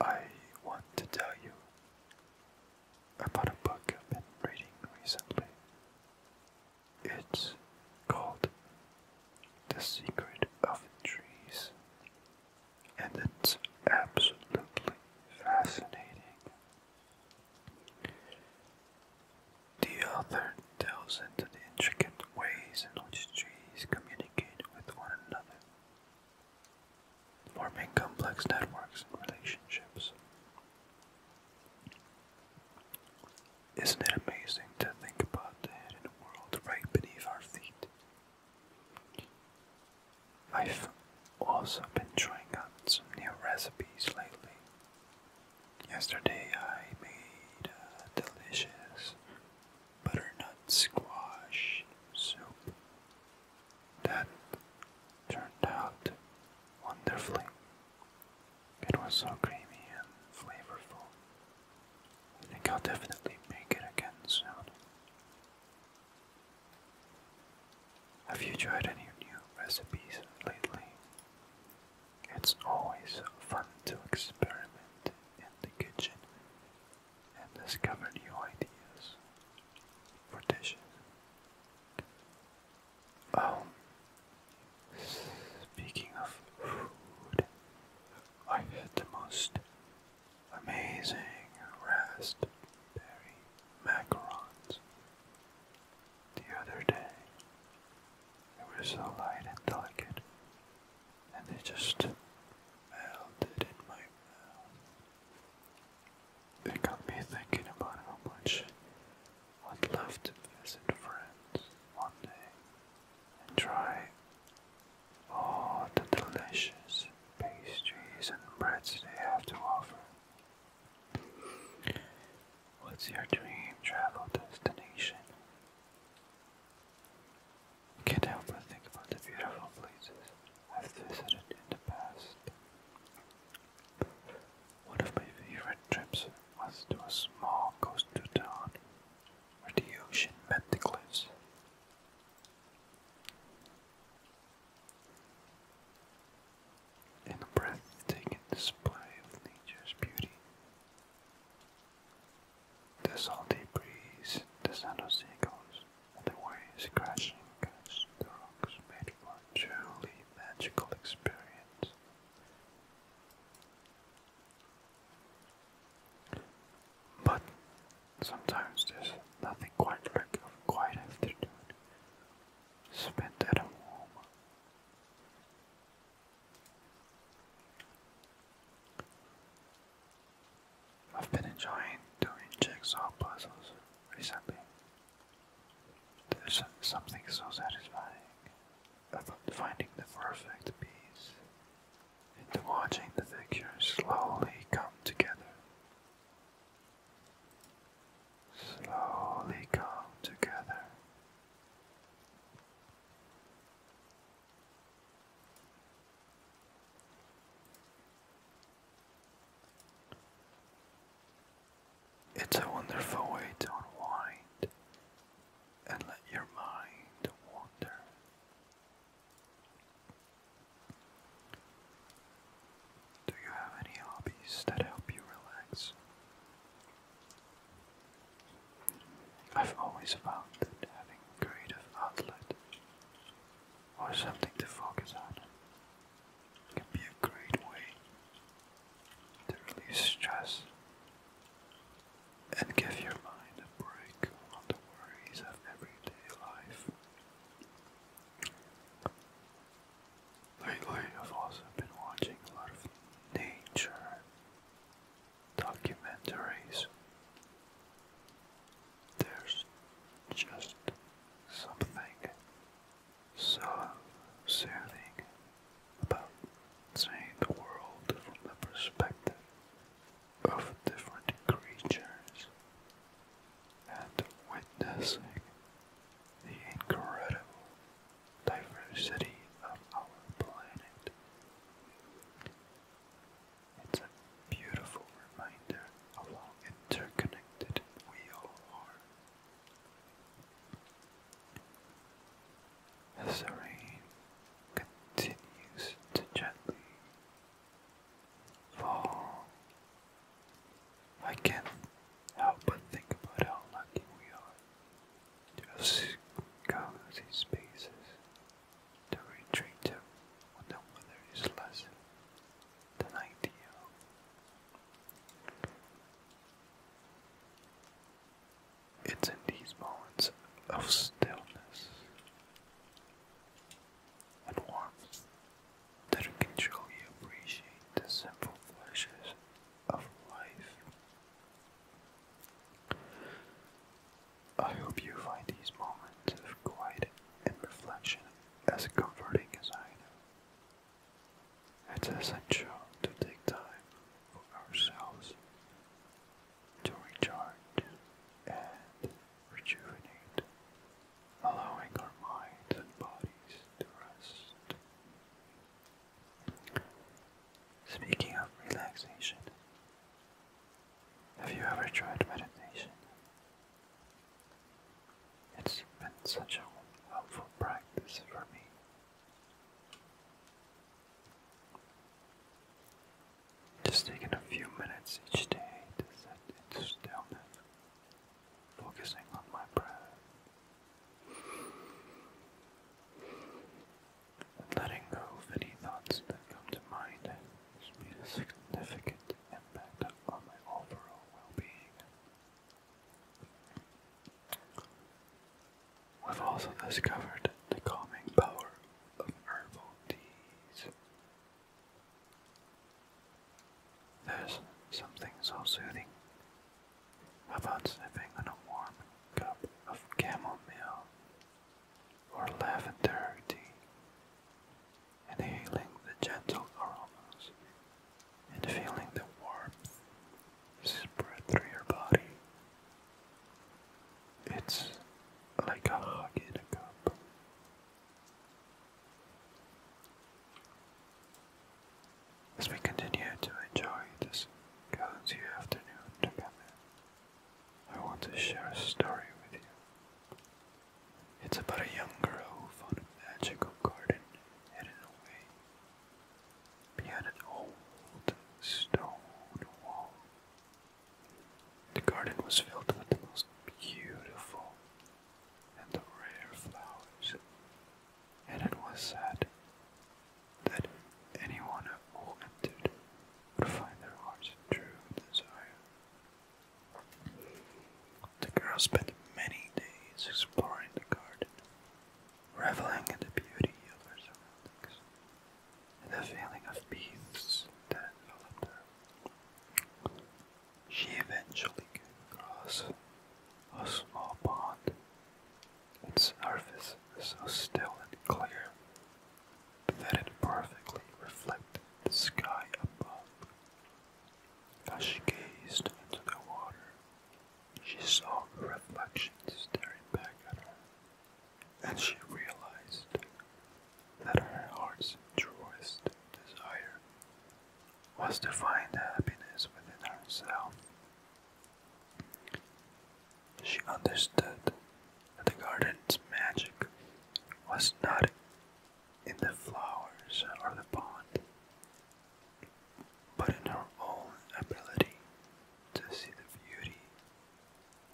I want to tell you about a book I've been reading recently. It's called The Secret of Trees, and it's absolutely fascinating. The author delves into the intricate ways in which trees communicate with one another forming complex networks and relationships. Isn't it amazing to think about the hidden world right beneath our feet? I've also been trying out some new recipes lately. Yesterday I made a delicious butternut squash soup. That turned out wonderfully. It was so creamy and flavorful. I think I'll definitely make it again soon. Have you tried any new recipes lately? It's always fun to experiment in the kitchen and discover new ideas for dishes. Oh, speaking of food, I had the most amazing raspberry macarons the other day. They were so light and delicate and they just melted in my mouth. It got me thinking about how much I'd love to visit friends one day and try all the delicious pastries and breads they have to offer. What's your dream travel destination? Can't help but think about the beautiful places I've visited in the past. One of my favorite trips was to a small coastal town where the ocean met the cliffs. In a breathtaking display of nature's beauty, the salty breeze, the sound of seagulls, the waves crashing against the rocks made for a truly magical experience. But sometimes there's nothing quite like a quiet afternoon spent at home. I've been enjoying doing jigsaw puzzles recently. There's something so satisfying about finding the perfect piece and watching the figures slowly come together. Slowly come together. It's a wonderful way to unwind and let your mind wander. Do you have any hobbies that help you relax? I've always found that having creative outlet or something to focus on. can be a great way to release stress and give your mind a break from the worries of everyday life. Lately, I've also been watching a lot of nature documentaries. There's just something so soothing about seeing the world from the perspective of different creatures and witnessing the incredible diversity of our planet. It's a beautiful reminder of how interconnected we all are. As the rain continues to gently fall, I can't help but think about how lucky we are to have cozy spaces the retreater when the weather is less than ideal. It's in these moments of stillness and warmth that you can truly appreciate the simple flashes of life. I hope you find these moments of quiet and reflection as comforting as I do. It's essential to take time for ourselves to recharge and rejuvenate, allowing our minds and bodies to rest. Speaking of relaxation, have you ever tried meditation? It's been such a helpful practice for me. Just taking a few minutes each day to sit in stillness, focusing on my breath. Letting go of any thoughts that come to mind has made a significant impact on my overall well-being. We've also discovered the calming power of herbal teas. There's something so soothing about sipping on a warm cup of chamomile or lavender tea, inhaling the gentle aromas and feeling the warmth spread through your body. It's like a hug in a cup. As we continue to enjoy this cozy afternoon together, I want to share a story with you. It's about a young girl who found a magical garden hidden away an old stone wall. The garden was filled with the most beautiful and rare flowers, and it was said that anyone who entered would find their heart's true desire. The girl spent many days exploring the garden, reveling in the beauty of her surroundings and the feeling of peace that enveloped her. She eventually came across a small pond. Its surface was so still and clear that it perfectly reflected the sky above. As she gazed into the water, she saw her reflection staring back at her, and she realized that her heart's truest desire was to find happiness within herself. She understood that the garden's magic was not in the flowers or the pond, but in her own ability to see the beauty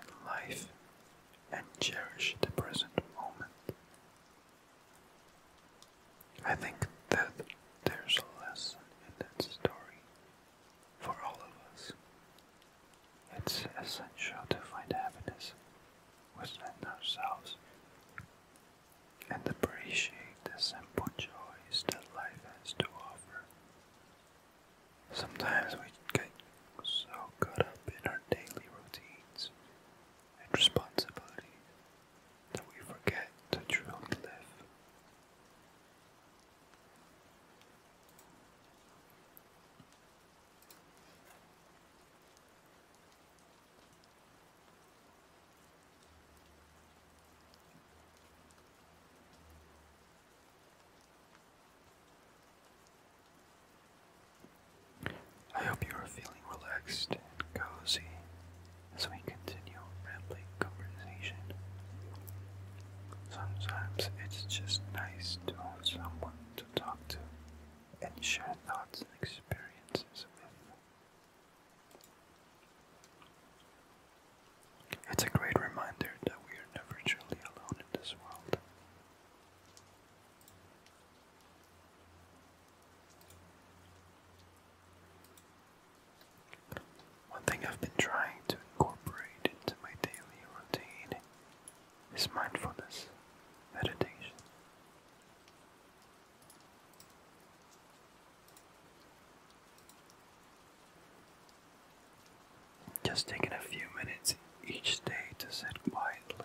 in life and cherish the present moment. I think that there's a lesson in that story for all of us. It's essential to find happiness within ourselves and appreciate the simple joys that life has to offer. Sometimes we get so caught up in our daily routines and responsibilities that we forget to truly live. I hope you are feeling relaxed and cozy as we continue rambling conversation. Sometimes it's just nice to have someone to talk to and share thoughts and experiences with. It's a great reminder that we are never truly alone in this world. One thing I've been trying to incorporate into my daily routine today is mindfulness meditation. Just taking a few minutes each day to sit quietly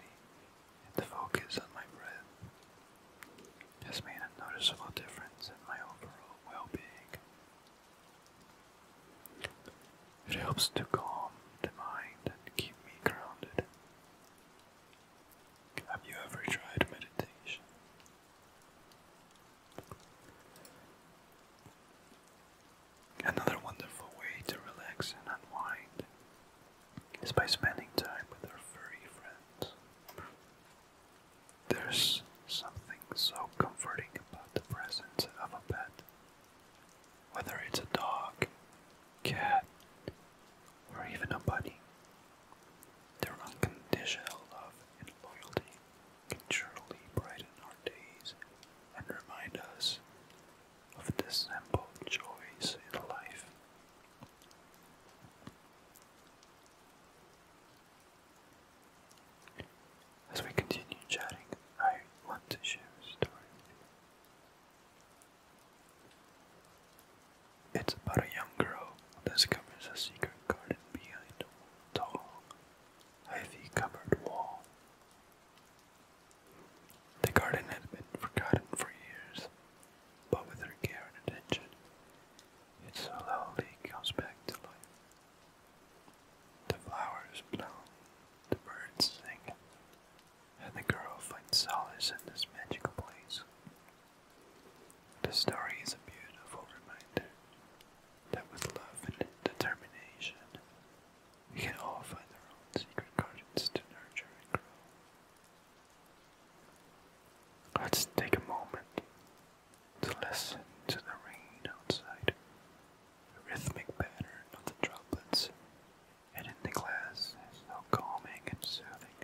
and to focus on my breath has made a noticeable difference in my overall well being it helps to calm the mind and keep me grounded. Have you ever tried meditation? Another wonderful way to relax and unwind is by spending time with our furry friends. There's something so comforting about the presence of a pet. Whether it's a dog, cat, or even a bunny, their unconditional love and loyalty can truly brighten our days and remind us of the simple joys in life. As we continue chatting, I want to share a story It's about a young girl who discovers a secret garden behind a tall, ivy covered wall. The garden had been forgotten for years, but with her care and attention, it slowly comes back to life. The flowers bloom, the birds sing, and the girl finds solace in this magical place. The story is a beautiful reminder that with love and determination, we can all find our own secret gardens to nurture and grow. Let's take a moment to listen to the rain outside, the rhythmic pattern of the droplets, and in the glass so calming and soothing.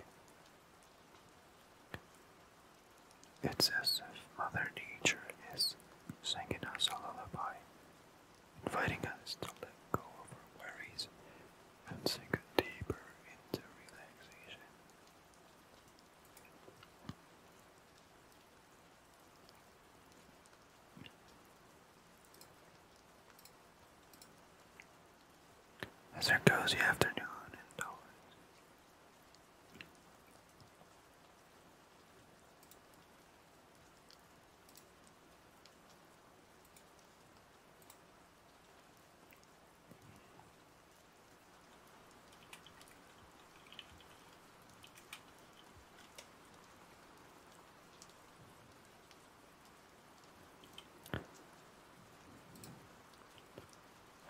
It's as if Mother Nature is singing us a lullaby, inviting us to let go of our worries and sink deeper into relaxation. That's our cozy afternoon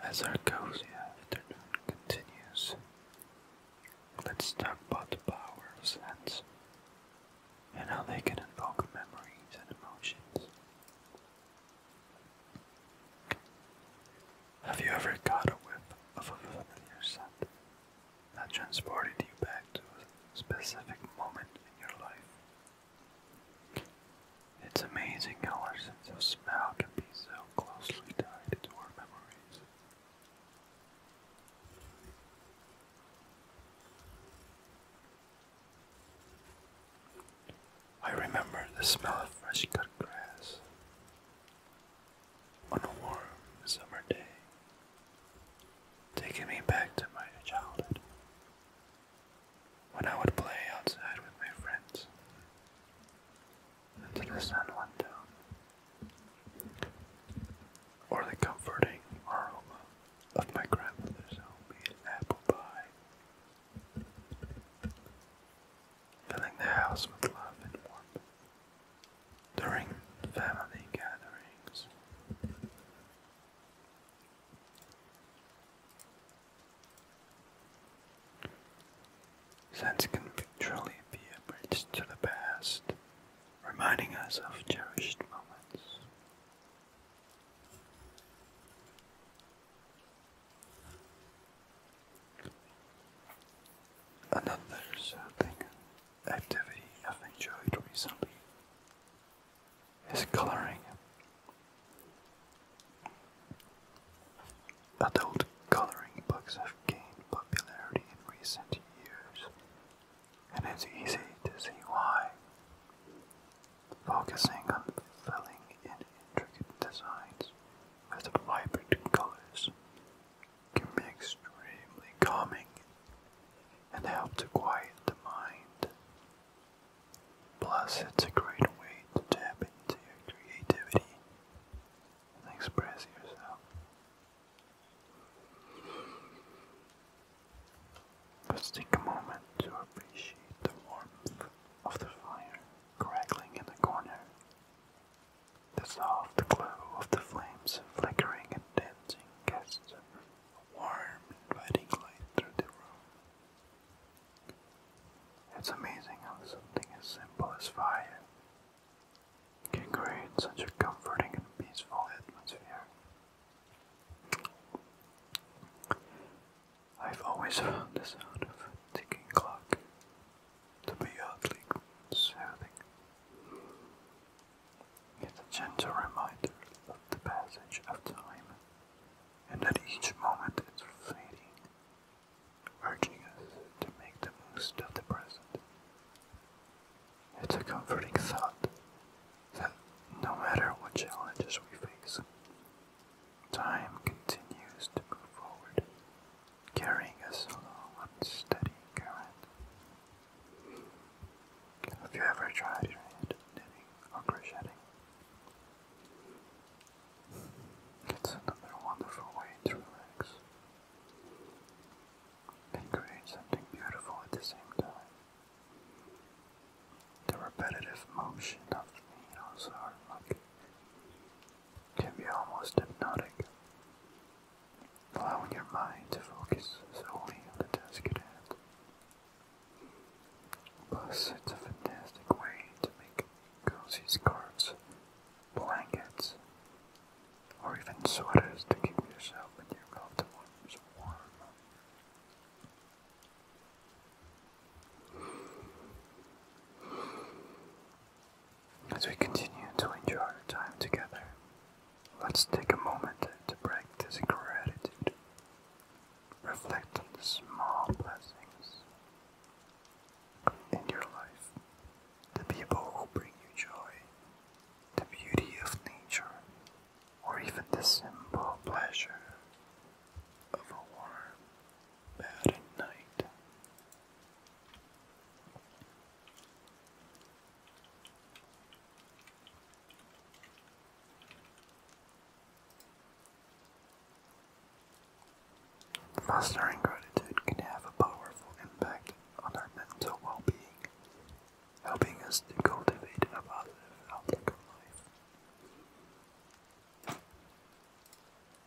as our cozy afternoon continues, let's talk about the power of scents and how they can evoke memories and emotions. Have you ever caught a whiff of a familiar scent that transported you back to a specific moment in your life? It's amazing how our sense of smell can be so closely tied to our memories. I remember the smell of fresh cut grass, on a warm summer day, taking me back to my childhood when I would play outside with my friends until the sun went down, or the comforting aroma of my grandmother's homemade apple pie, filling the house with love and warmth during family gatherings. Sense can truly be a bridge to the past, reminding us of cherished moments. Another surfing activity I've enjoyed recently is coloring. Adult coloring books have gained popularity in recent years, and it's easy to see why. Focusing on filling in intricate designs with vibrant colors can be extremely calming and help to quiet the mind. Plus, it's a great way to tap into your creativity and express yourself. Let's take a moment to appreciate the warmth of the fire crackling in the corner the soft glow of the flames flickering and dancing casts a warm, inviting light through the room. It's amazing how something as simple as fire can create such a comforting and peaceful atmosphere. I've always found the sound of a ticking clock to be oddly soothing. It's a gentle reminder of the passage of time, and that each moment is fleeting, urging us to make the most of the present. It's a comforting thought that no matter what challenges we face, time continues to move forward carrying a slow, unsteady current. Have you ever tried knitting or crocheting? It's another wonderful way to relax and create something beautiful at the same time. The repetitive motion of needles are like can be almost hypnotic, allowing your mind to focus solely on the task at hand. Plus, it's a fantastic way to make cozy scarves, blankets, or even sweaters to keep yourself and your loved ones warm. As we continue to enjoy our time together, let's take a moment to practice gratitude. Reflect on the small blessings in your life, the people who bring you joy, the beauty of nature, or even the simple pleasure of a warm bed at night. Fostering gratitude can have a powerful impact on our mental well being, helping us to cultivate a positive outlook on life.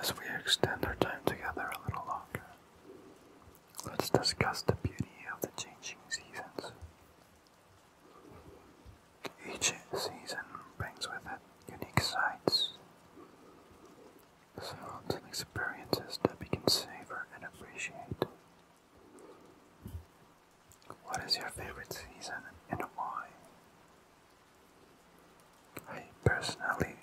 As we extend our time together a little longer, Let's discuss the beauty of the changing seasons. Each season brings with it unique sights, sounds, and experiences that we can savor and appreciate. What is your favorite season and why? I personally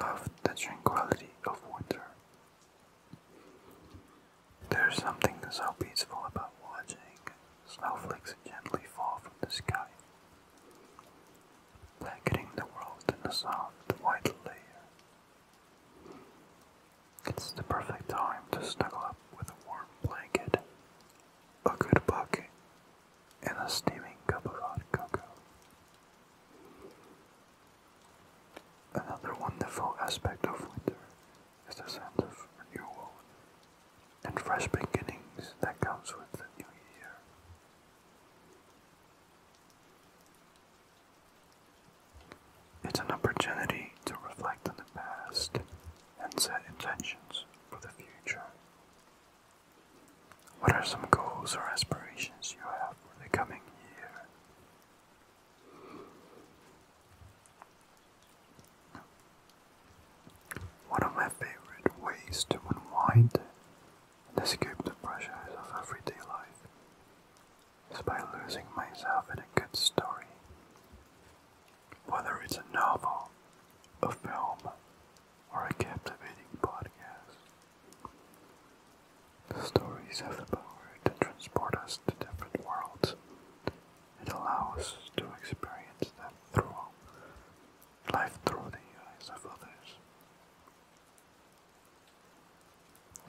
loved the tranquility of winter. There's something so peaceful about watching snowflakes gently fall from the sky, blackening the world in a soft white layer. It's the perfect time to snuggle up with a warm blanket, a good book, and a steaming cup of hot cocoa. Another wonderful aspect of winter is the sense of renewal and fresh beginnings that comes with the new year. It's an opportunity to reflect on the past and set intentions for the future. What are some goals or aspirations you have for the coming year? One of my favorite ways to unwind and escape the pressures of everyday life is by losing myself in a good story. Whether it's a novel, a film, or a captivating podcast, Stories have the power to transport us to different worlds. It allows us to experience them through life through the eyes of others.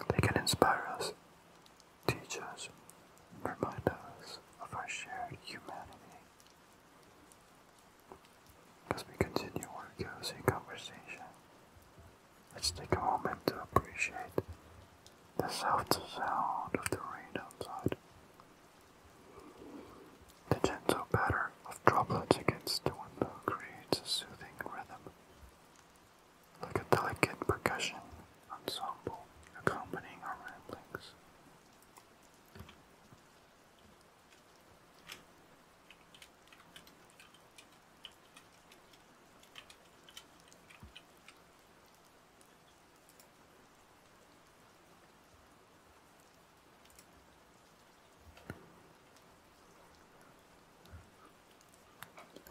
They can inspire us, teach us, remind us of our shared humanity. As we continue our cozy conversation, Let's take a moment to appreciate the soft sound of the rain outside, the gentle patter of droplets against the window creates a soothing rhythm, like a delicate percussion ensemble accompanying our ramblings.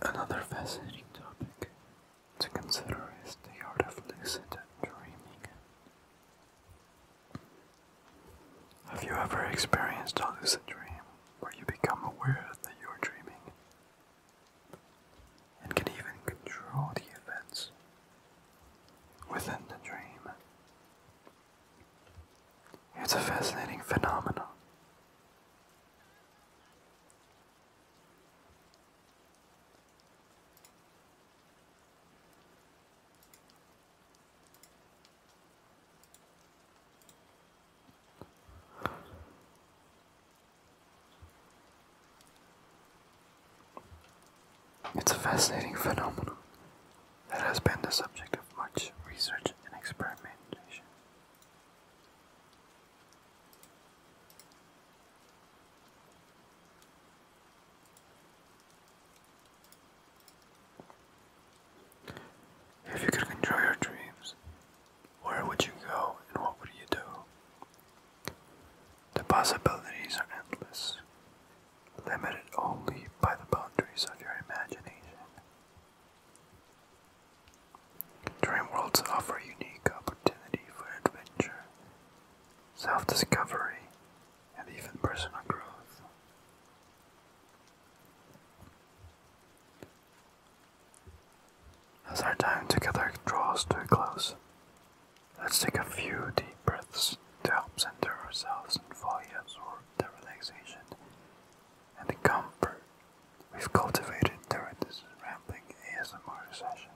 Another fascinating topic to consider is the art of lucid dreaming. Have you ever experienced a lucid dream where you become aware that you are dreaming and can even control the events within the dream? It's a fascinating phenomenon. It's a fascinating phenomenon that has been the subject of much research and experimentation. If you could control your dreams, where would you go and what would you do? The possibilities are endless, limited only by the boundaries of your imagination. Dream worlds offer unique opportunity for adventure, self discovery, and even personal growth. As our time together draws to a close, let's take a few deep breaths to help center ourselves and fully absorb the relaxation and comfort we've cultivated during this rambling ASMR session.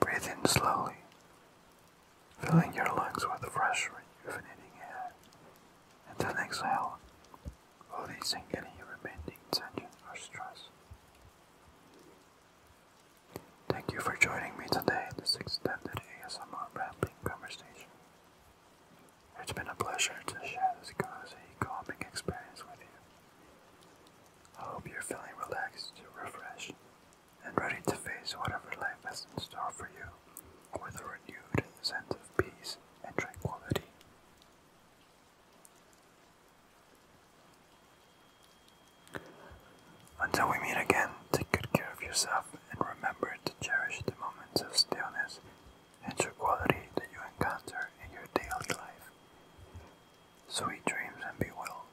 Breathe in slowly filling your lungs with fresh, rejuvenating air, and then exhale, releasing any remaining tension or stress. Thank you for joining me today in this extended ASMR rambling conversation. It's been a pleasure to share this cozy, calming experience with you. I hope you're feeling relaxed, refreshed, and ready to face whatever life has in store for you with a renewed sense of peace and tranquility. Until we meet again, take good care of yourself and remember to cherish the moments of stillness and tranquility that you encounter in your daily life. Sweet dreams and be well.